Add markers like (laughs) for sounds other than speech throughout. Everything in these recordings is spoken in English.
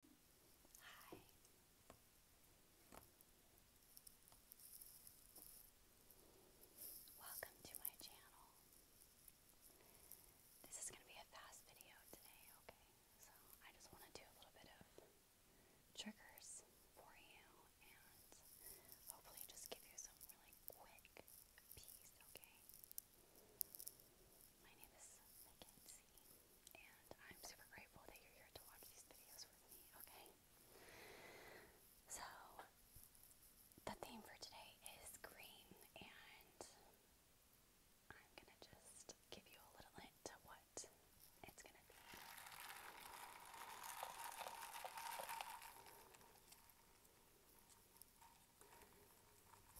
Hi. Welcome to my channel. This is going to be a fast video today, okay? So I just want to do a little bit of triggers for you and hopefully just give you some really quick peace, okay? My name is Mackenzie, and I'm super grateful that you're here to watch these videos with me, okay? So, the theme for today is green, and I'm gonna just give you a little hint to what it's gonna be.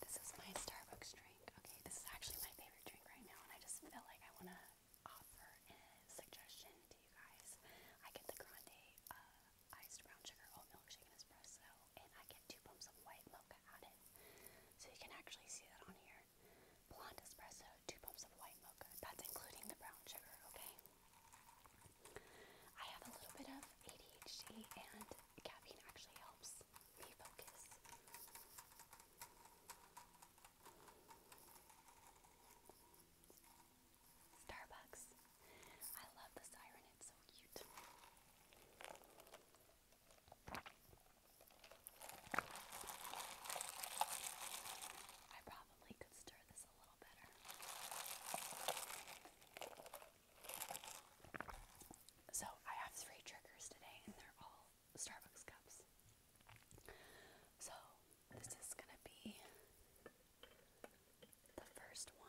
This is my Starbucks drink. Okay, this is actually my favorite drink right now, and I just feel like I want to offer a suggestion to you guys. I get the grande uh, iced brown sugar oat milkshake and espresso, and I get two pumps of white mocha added. So you can actually see that on here. Blonde espresso, two pumps of white mocha. That's including the brown sugar, okay? I have a little bit of ADHD, and caffeine actually helps Refocus. Starbucks. I love the siren, it's so cute. I probably could stir this a little better. So I have three triggers today, and they're all Starbucks cups. So this is gonna be the first one.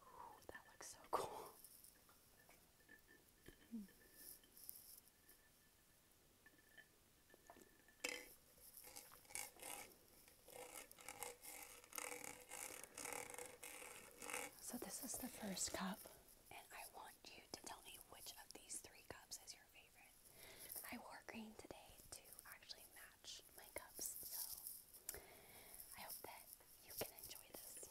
Ooh, that looks so cool. (laughs) So, this is the first cup, and I want you to tell me which of these three cups is your favorite. I wore green today to actually match wash So I hope that you can enjoy this.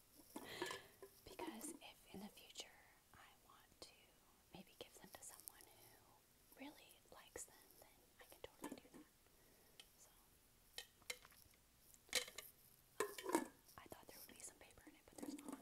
because if in the future I want to maybe give them to someone who really likes them, then I can totally do that. So I thought there would be some paper in it, but there's not.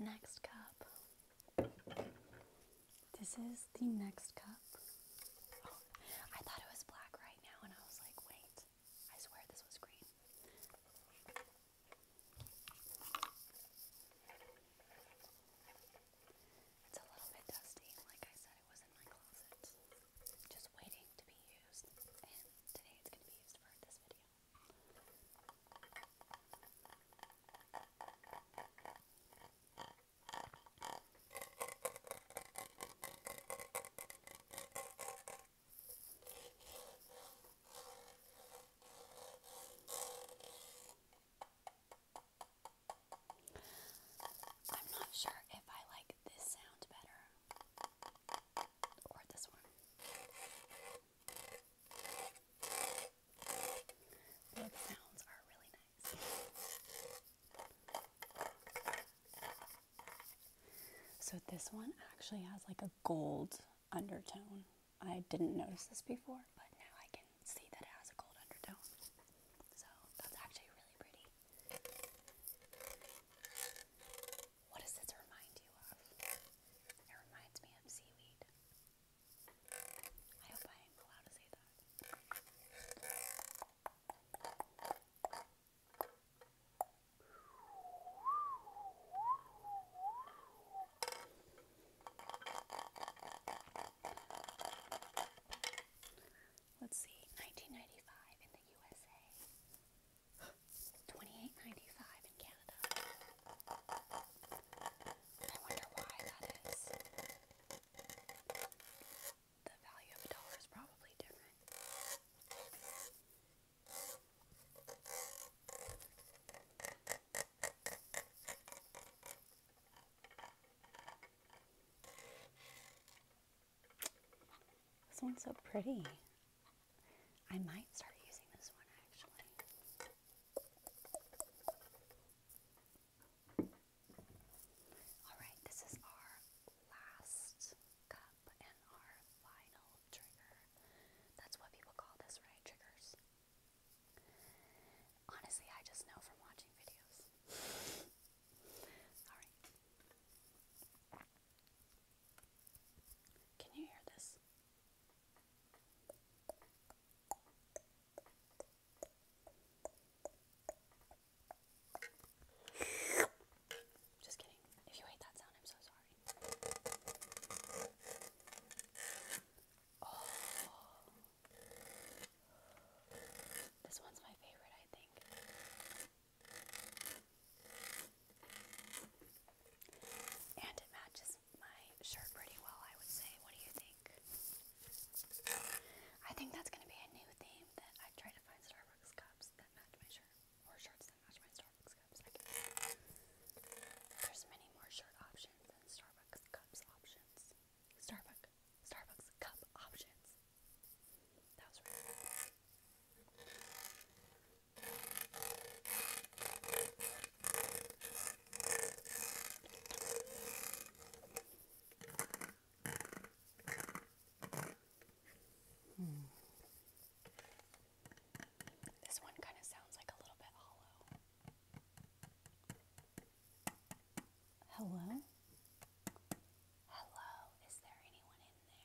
Next cup. This is the next cup. Oh, I thought it was black right now, and I was like, wait, I swear this was green. It's a little bit dusty. Like I said, it was in my closet. Just waiting to be used. And today it's going to be used for this video. All I'm not sure if I like this sound better or this one. Both sounds are really nice. So this one actually has like a gold undertone. I didn't notice this before, but now I can see that it has a gold undertone. So that's actually really pretty. What does this remind you of? It reminds me of seaweed. I hope I am allowed to say that. Let's see, 1995 in the USA, 28.95 in Canada. I wonder why that is. The value of dollar is probably different. This one's so pretty. I might start using this one actually. Alright, this is our last cup and our final trigger. That's what people call this, right? Triggers. Honestly, I just know from watching videos. Alright. Can you hear this? Just kidding. If you hate that sound, I'm so sorry. Oh. This one's my favorite, I think. And it matches my shirt pretty well, I would say. What do you think? I think that's going to be a new theme that I try to find Starbucks cups that match my shirt or shirts that match my Starbucks Starbucks cups, There's many more shirt options than Starbucks cups options. Starbucks, Starbucks cup options. Hmm. This one kind of sounds like a little bit hollow. Hello? Hello, is there anyone in there?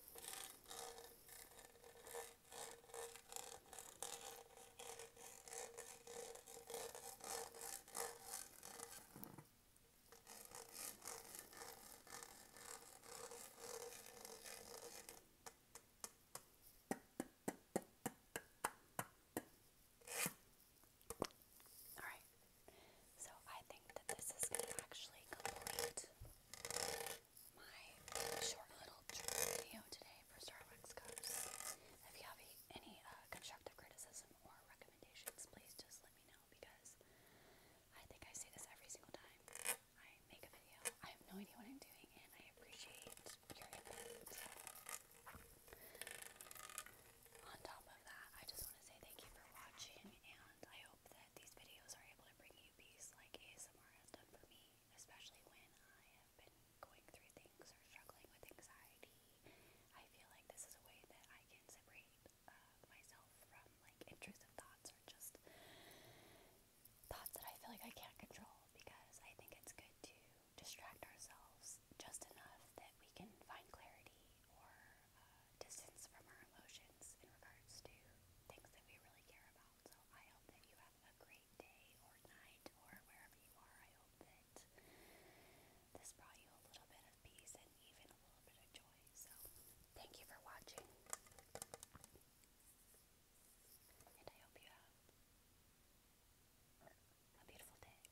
All right. So I think that this is going to actually complete my short little video today for Starbucks cups. If you have any uh, constructive criticism or recommendations, please just let me know because I think I say this every single time I make a video. I have no idea what I'm doing and I appreciate your input. On top of that, I just want to say thank you for watching and I hope that these videos are able to bring you peace like ASMR has done for me, especially when I have been going through things or struggling with anxiety. I feel like this is a way that I can separate uh, myself from like intrusive thoughts or just thoughts that I feel like I can't control because I think it's good to distract ourselves just enough that we can find clarity or uh, distance from our emotions in regards to things that we really care about. So I hope that you have a great day or night or wherever you are. I hope that this brought you a little bit of peace and even a little bit of joy. So thank you for watching. And I hope you have a beautiful day.